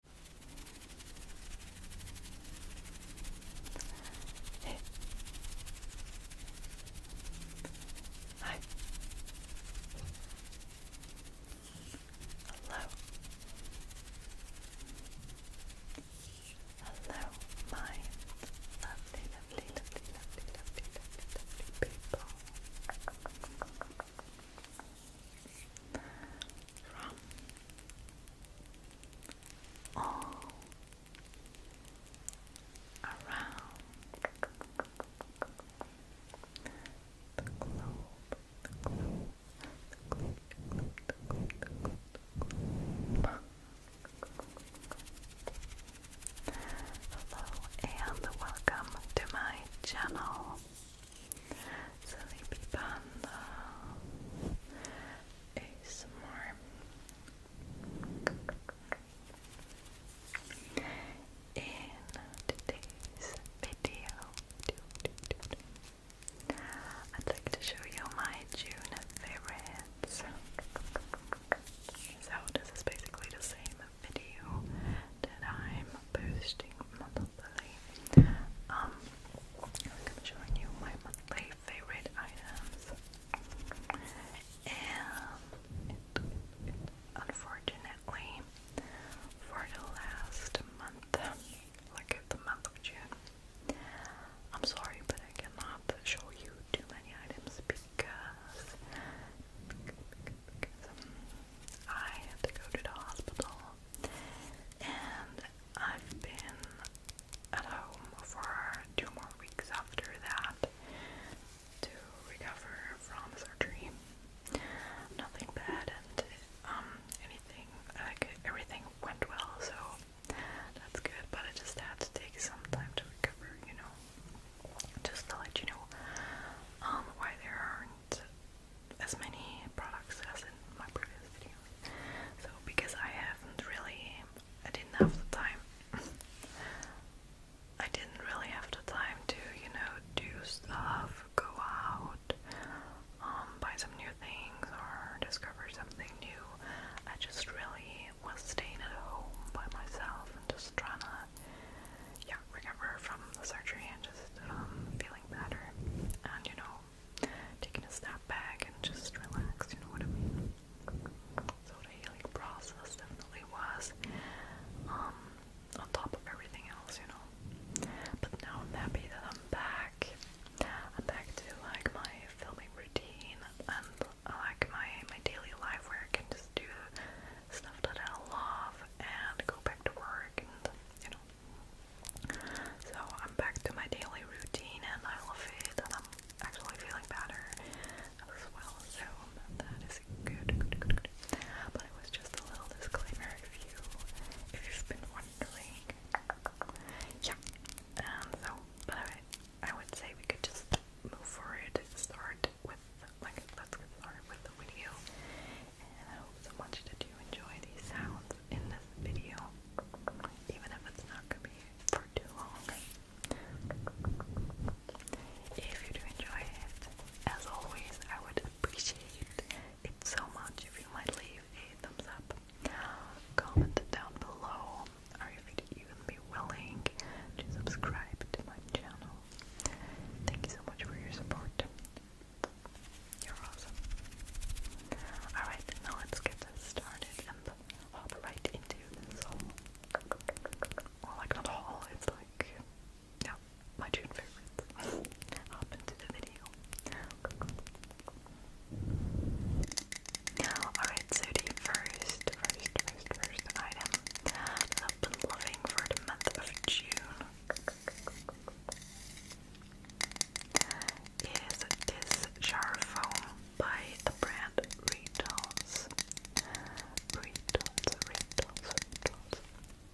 えはい Hello Hello my lovely lovely lovely lovely lovely people from all around the globe, Hello and welcome to my channel. Sleepy Panda ASMR In today's video I'd like to show you my June favorites so this is basically the same video that I'm posting month Lily. Um, I'm showing you my monthly favorite items, and unfortunately, for the last month, like the month of June, I'm sorry, but I cannot show you too many items because. Um, I had to go to the hospital, and I've been at home for two more weeks after that to recover from surgery. Nothing bad, and um, anything like everything went well, so that's good. But I just had to take some time to recover, you know, just to let you know um, why there are as many products as in my previous video. So because I haven't really, I didn't have the time. I didn't really have the time to, you know, do stuff, go out, um, buy some new things or discover something new. I just really was staying at home by myself and just trying to, yeah, recover from the surgery and just um, feeling better and, you know, taking a step back and just relax, you know what I mean? So the process definitely was um, on top of everything else, you know. But now I'm happy that I'm back. I'm back to like my filming routine and like my my daily life where I can just do stuff that I love and go back to work and you know so I'm back to my daily routine and I love it and I'm actually feeling better as well. So that is good, But it was just a little disclaimer if you if you've been wondering. Yeah. And um, so but I would say we could just move forward, start with like let's get started with the video. And I hope so much that you enjoy these sounds in this video, even if it's not going to be for too long. If you do enjoy it, as always, I would appreciate it so much if you might leave a thumbs up, comment down below, or if you'd even be willing to subscribe to my channel. Thank you so much for your support. You're awesome. Alright, now let's get this started and hop right into this whole. Well, like, not haul, it's like, yeah, my June favorites. hop into the video. Alright, so the first, first, first, first item that loving for the month of June is this jar by the brand Ritos. Ritos, Ritos,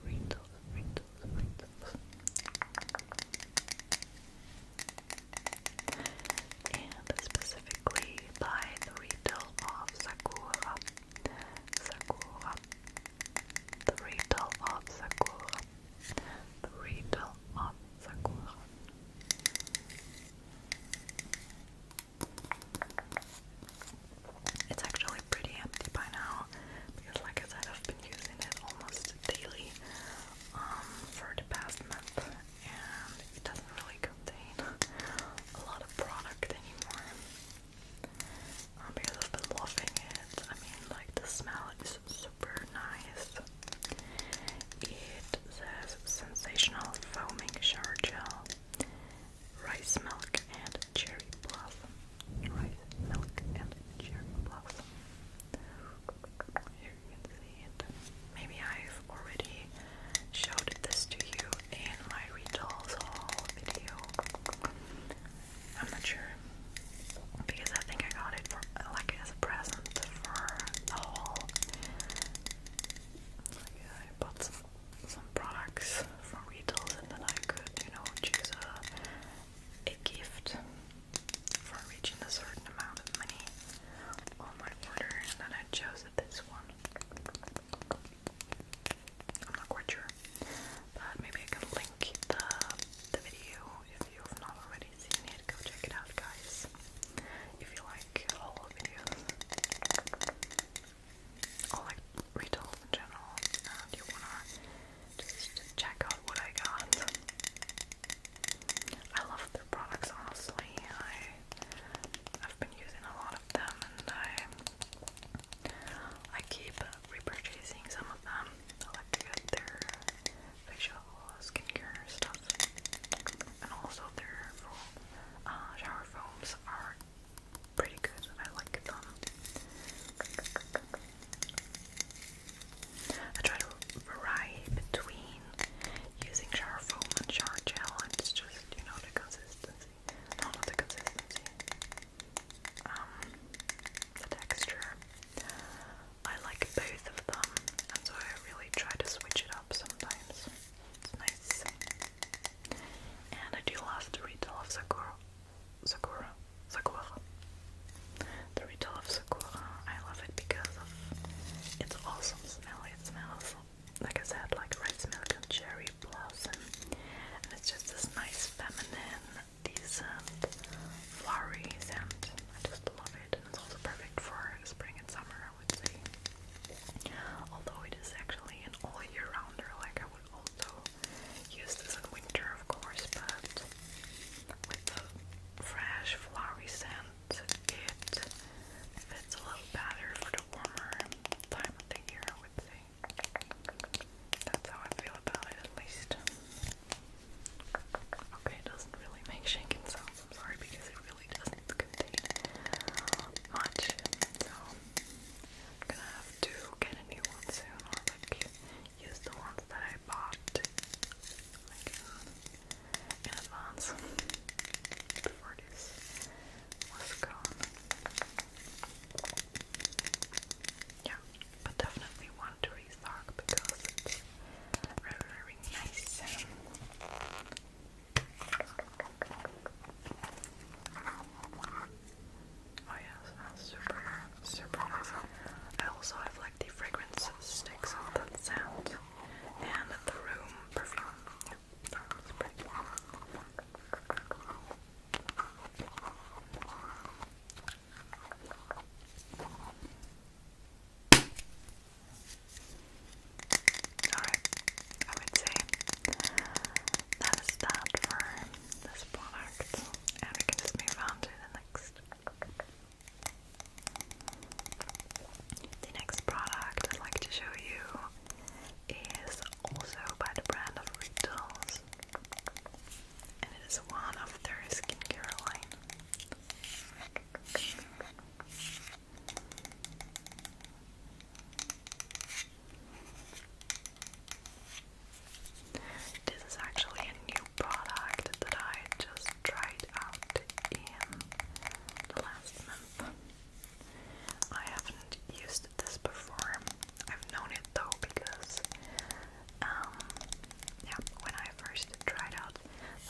Ritos, Ritos, Ritos, Ritos. And specifically by the retail of Sakura. Sakura. The of Sakura. The Riddle It's actually pretty empty by now because, like I said, I've been using it almost daily um, for the past month, and it doesn't really contain a lot of product anymore. Um, because I've been loving it. I mean, like the smell is so super nice. It says sensational foaming shower gel, rice milk and cherry blossom. Rice milk and cherry blossom. Maybe I've already showed this to you in my Retolls haul video. I'm not sure because I think I got it like as a present for the haul. I bought some, products from retails and then I could, you know, choose a, gift for reaching a certain amount of money on my order and then I chose this one. I'm not sure, but maybe I can link the the video if you have not already so you need to go check it out, guys. If you like haul videos, or like retail in general, and you wanna just check out what I got. I love their products, honestly. I I've been using a lot of them, and I I keep repurchasing some of them. I their facial skincare stuff. And also their uh, shower foams are pretty good. I like them. I try to vary between using shower foam and shower gel, and it's just, you know, the consistency. not the consistency. Um, the texture. I like both of them, and so I really try to switch it up sometimes. It's nice. And I do love the retail of Sakura. Sakura. Sakura. The retail of Sakura, I love it because of its awesome smell. It smells, like I said, like rice milk and cherry blossom. And it's just this nice feminine, decent, flowery scent. I just love it and it's also perfect for spring and summer, I would say. Although it is actually an all year rounder, like I would also use this in winter, of course, but with the fresh, flowery scent, it fits a little better for the warmer time of the year, I would say. That's how I feel about it, at least. Okay, it doesn't really make shaking sounds, sorry, because it really doesn't contain much. So, I'm gonna have to get a new one soon, or like use the ones that I bought like uh, in advance before this was gone. Yeah, but definitely want to restock because very, very Oh yeah, super, super nice. I also like the fragrance sticks that scent and the room perfume. Alright, I would say that is that for this product, and we can just move on to the next. The next product I'd like to show you is also by the brand of Rituals, and it is one of their skincare line. This is actually a new product that I just tried out in the last month. I haven't used this before. I've known it though because um, yeah, when I first tried out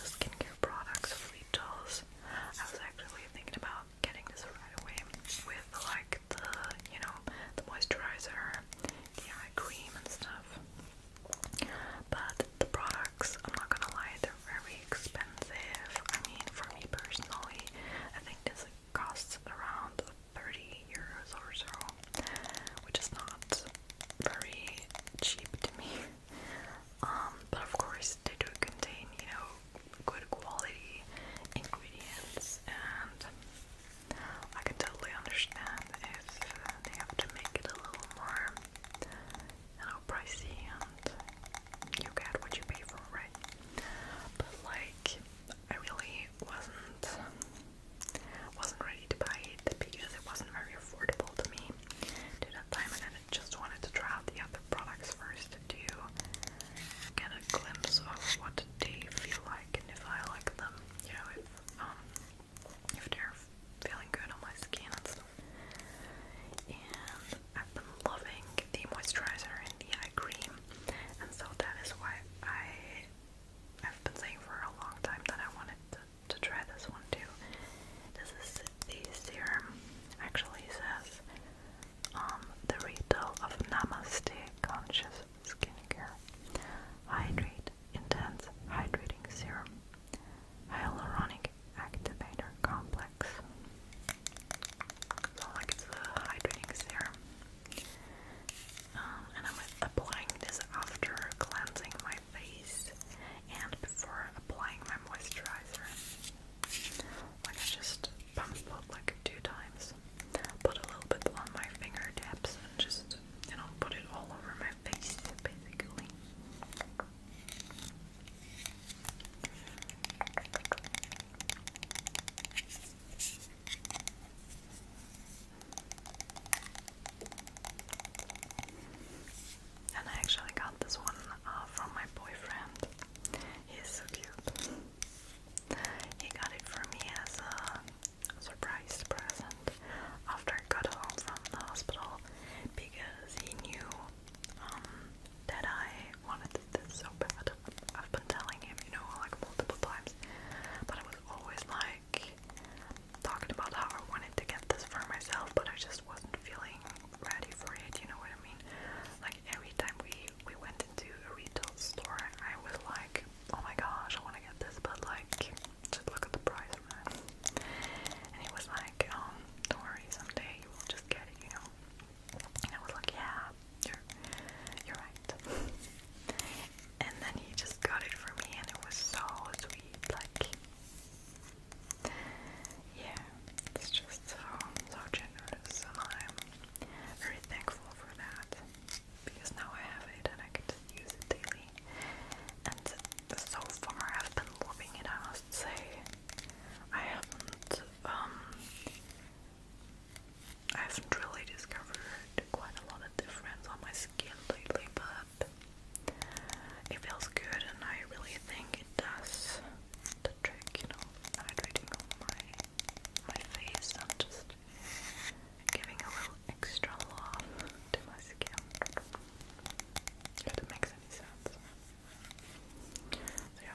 the skincare products of Litos, I was actually thinking about getting this right away with like the, you know, the moisturizer, the eye cream and stuff. But the products, I'm not gonna lie, they're very expensive. I mean, for me personally, I think this costs around 30 euros or so, which is not very cheap to me. Um, but of course they do contain, you know, good quality ingredients and I can totally understand if uh, they have to make it a little more, you know, pricey and you get what you pay for, right? But like, I really wasn't wasn't ready to buy because it wasn't very affordable to me at that time, and I just wanted to try out the other products first to get a glimpse of what they feel like and if I like them, you know, um, if they're feeling good on my skin and stuff. And I've been loving the moisturizer and the eye cream, and so that is why I. I've been saying for a long time that I wanted to try this one too. This is the serum. Actually says um the retail of Namaste Conscious Skincare. Hydrate Intense Hydrating Serum. Hyaluronic Activator Complex. So like it's a hydrating serum. Um, and I'm applying this after cleansing my face and before applying my moisturizer. I just pump up like two times, put a little bit on my fingertips and just, you know, put it all over my face basically. And I actually got this one uh, from my boyfriend. He's so cute. He got it for me as a surprise present after I got home from the hospital because he knew um, that I wanted this so bad. I've been telling him, you know, like multiple times, but I was always like, talking about how I wanted to get this for myself, but I just wasn't feeling ready for it, you know what I mean? Like every time we we went into a retail store, I was like, oh my gosh, I want to get this, but like, just look at the price, man. And he was like, um, don't worry, someday you will just get it, you know? And I was like, yeah, you're, you're right. and then he just got it for me, and it was so sweet, like, yeah, it's just um, so, generous, and I'm very thankful for that because now I have it and I can use it daily. And so far, I've been loving it, I must say. I haven't, um, I haven't really discovered quite a lot of difference on my skin lately, but it feels good, and I really think it does the trick, you know, hydrating on my my face and just giving a little extra love to my skin. If it makes any sense. yeah.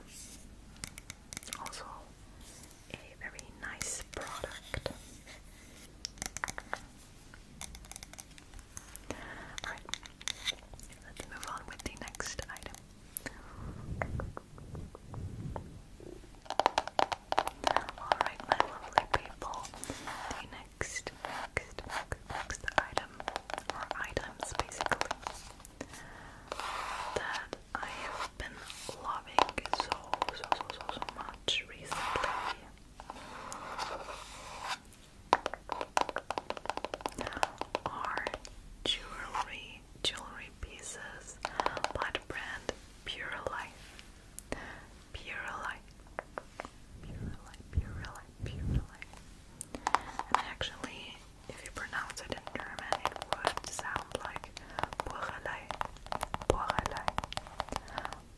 Also a very nice product. Alright, let's move on with the next item. Alright, my lovely people, the next, next, next item, or items basically, that I have been loving so, so, so, so, much recently are jewelry jewelry pieces by the brand Pure Life. Pure Life. Pure Life, Pure Life, Pure Life. And actually, if you pronounce it in German, it would sound like Purelei. Purelei.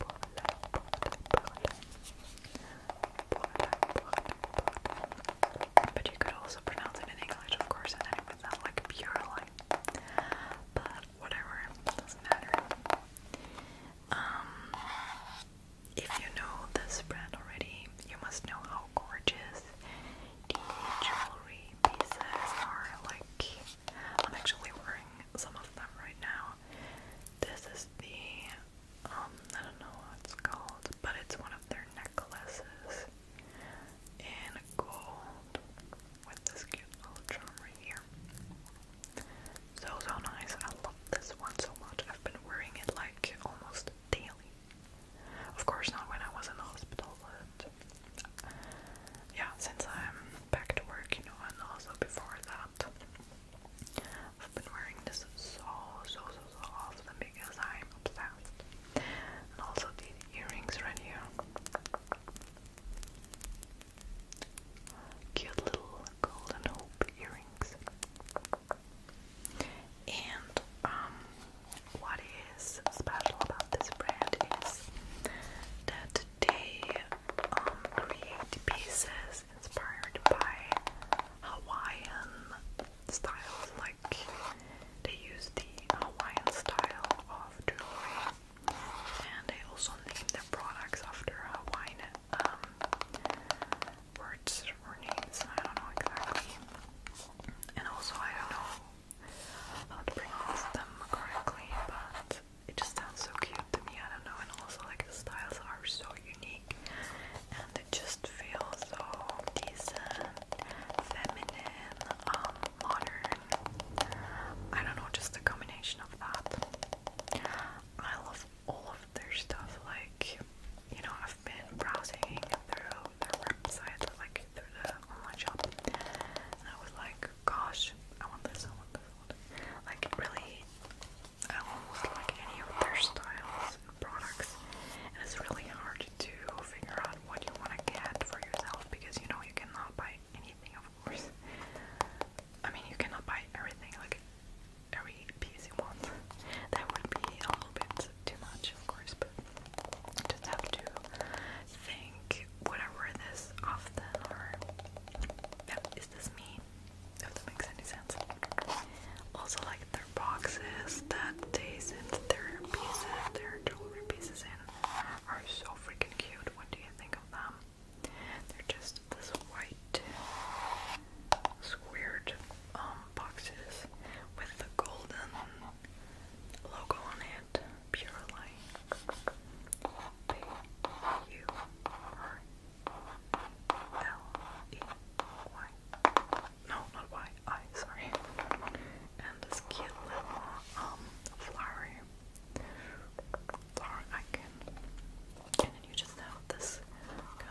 Purelei. Purelei. But you could also pronounce it in English, of course, and it would like pure line. But whatever, doesn't matter. Um, if you know this brand already, you must know how gorgeous the jewelry pieces are. Like, I'm actually wearing some of them right now. This is the um, I don't know what it's called, but it's one of their necklaces in gold with this cute little charm right here. So, so nice. I love this one so much. I've been wearing it like almost daily. Of course, not when I was in hospital, but yeah, since I'm back to work, you know, and also before that, that. I've been wearing this so, so, so, so often because I'm obsessed. And also these earrings right here. Cute little golden hoop earrings. And um, what is special about this brand is that they um, create pieces inspired by Hawaiian styles, like they use the Hawaiian style of jewelry, and they also name their products after Hawaiian um, words or names. I don't know exactly, and also I don't know how to pronounce them correctly, but it just sounds so cute to me. I don't know, and also like the styles are so unique and it just feels so decent, feminine, um, modern. I don't know, just a combination of that. I love all of their stuff. Like, you know, I've been browsing through their website, like through the online shop, and I was like, gosh, I want this, I want this, Like, really I almost like any of their styles and products, and it's really hard to figure out what you want to get for yourself because you know you cannot buy anything, of course. I mean, you cannot buy everything, like every piece you want. That would be a little bit too much, of course, but you just have to think whatever this often or yeah, is this me? if that makes any sense. Also, like their boxes that they send their pieces, their jewelry pieces in, are so freaking cute. What do you think of them? They're just this white squared um, boxes with the golden logo on it. Pure light. No, not Y. I, sorry. And this cute little um flower flower icon. And then you just have this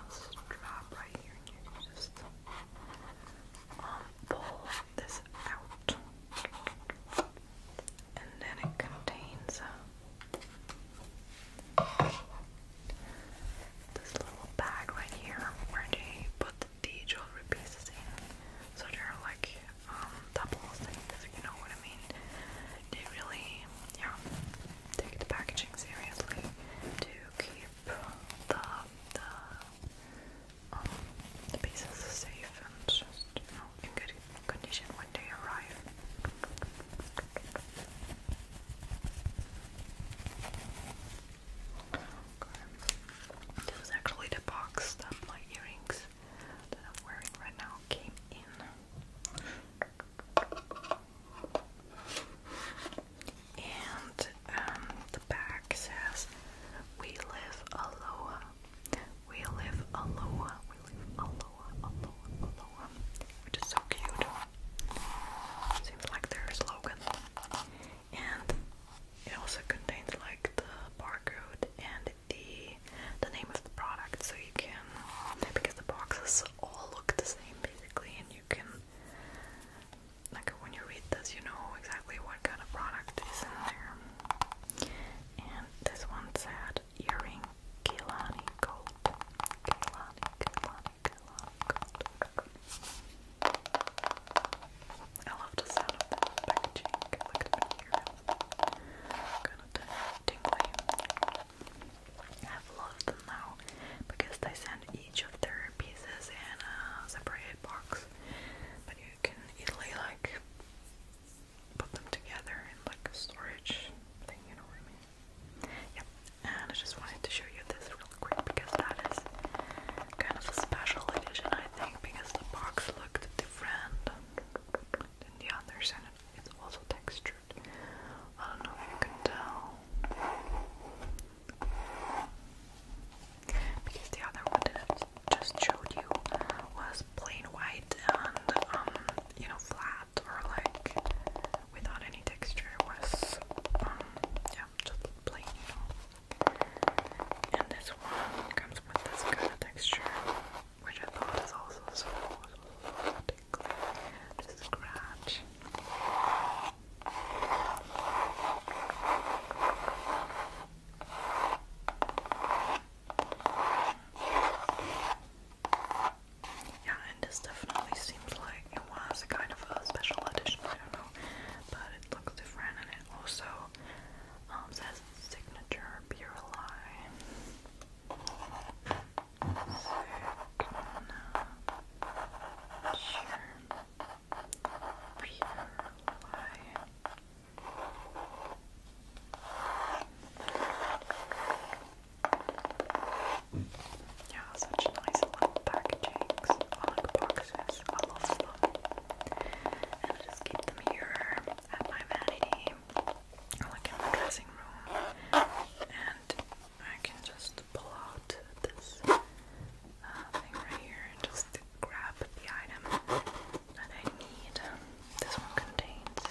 strap right here and you just um pull this out. And then it contains uh, this little bag right here where they put the jewelry pieces in. So they're like um, double things, you know what I mean? They really, yeah, take the packaging seriously to keep the the um, pieces safe and just you know in good condition when they arrive. This is actually the box that my earrings that I'm wearing right now came in. And um, the back says, We live aloha. We live aloha. We live aloha, aloha, aloha. Which is so cute. Seems like their slogan. And it also contains like the barcode and the the name of the product so you can because the boxes all look the same basically and you can like when you read this you know exactly what kind of product is in there. And this one said earring Kehlani gold. I love the sound of the packaging. Look Kind of tingly. I've them now because they send each of their pieces in a separate box, but you can easily like put them together in like a storage thing. You know what I mean? Yep, and I just wanted to show you this real quick because that is kind of a special edition, I think, because the box looked different than the others, and it's also textured. I don't know if you can tell. Because the other one just showed you was plain white and, um, you know, flat or like without any texture was um, yeah just plain you and this one comes with this kind of texture which I thought is also so, so, so tickly to scratch yeah, this definitely seems like it was a kind of a special edition, I don't know, but it looks different and it also um, says signature Biroli. Yeah, such nice little packagings, like boxes, I love them. And I just keep them here at my vanity, like in my dressing room. And I can just pull out this uh, thing right here and just grab the item that I need. This one contains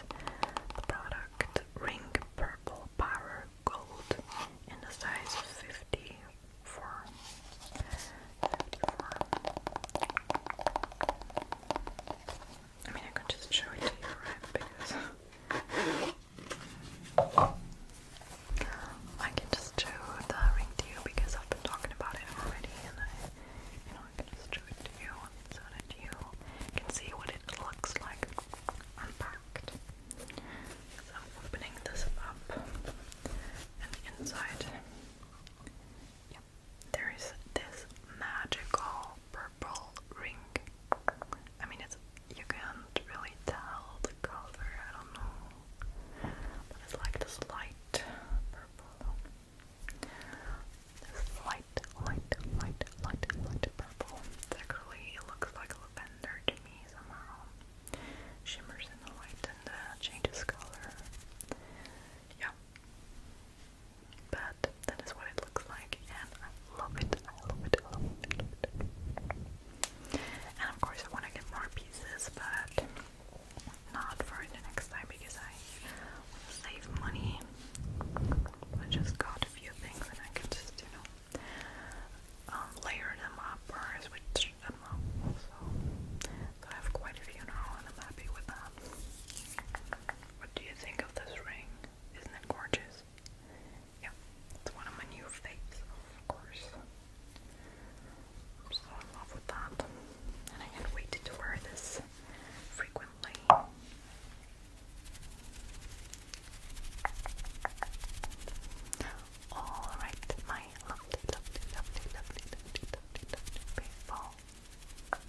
the product Ring Purple Power gold in the size 54. 54. I mean, I could just show it to you, right? Because I can just show the ring to you because I've been talking about it already, and I, you know, I can just show it to you so that you can see what it looks like. So i opening this up and inside there is this magical purple ring. I mean it's you can't really tell the color, I don't know. But it's like this light purple. This light, light, light, light, light purple. actually, it looks like lavender to me somehow shimmers in the light and uh, changes color. Yeah. But that is what it looks like, and I love it. I love it. I love it. And of course, I want to get more pieces, but not for the next time because I want to save money. I just got a few things, and I can just, you know, um, layer them up or switch them up. So, so I have quite a few now, and I'm happy with that. What do you think of this ring? Isn't it gorgeous? Yeah, it's one of my new faves, of course. I'm so in love with that, and I can't wait to wear this frequently. Alright, my lovely, lovely, lovely, lovely, lovely, lovely, lovely people from all around the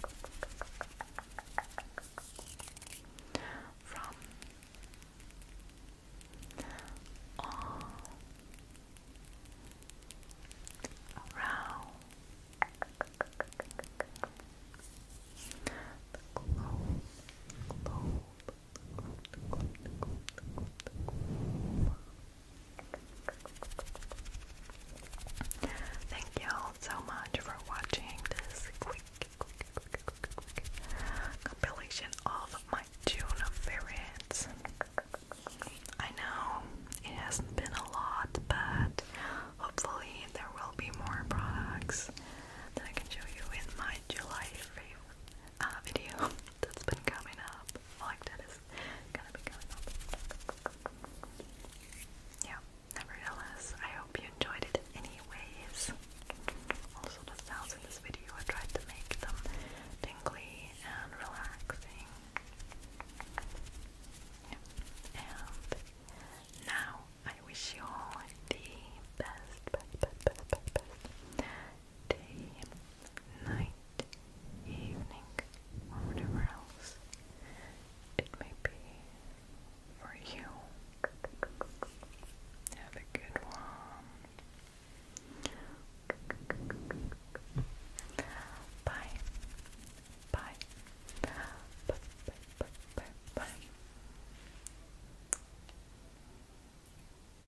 globe, globe, Thank y'all so much for watching this quick, compilation of my June favorites. I know it hasn't been a lot, but hopefully there will be more products that I can show you in my July favorite uh, video that's been coming up. Like that is gonna be coming up. Yeah, nevertheless, I hope you enjoyed it anyways. Also, the sounds in this video, I tried to make them tingly and relaxing. And now I wish you all the best, best, best, best, best, best day, night, evening, or whatever else it may be for you. Have a good one. Bye. Bye. Bye. Bye. Bye.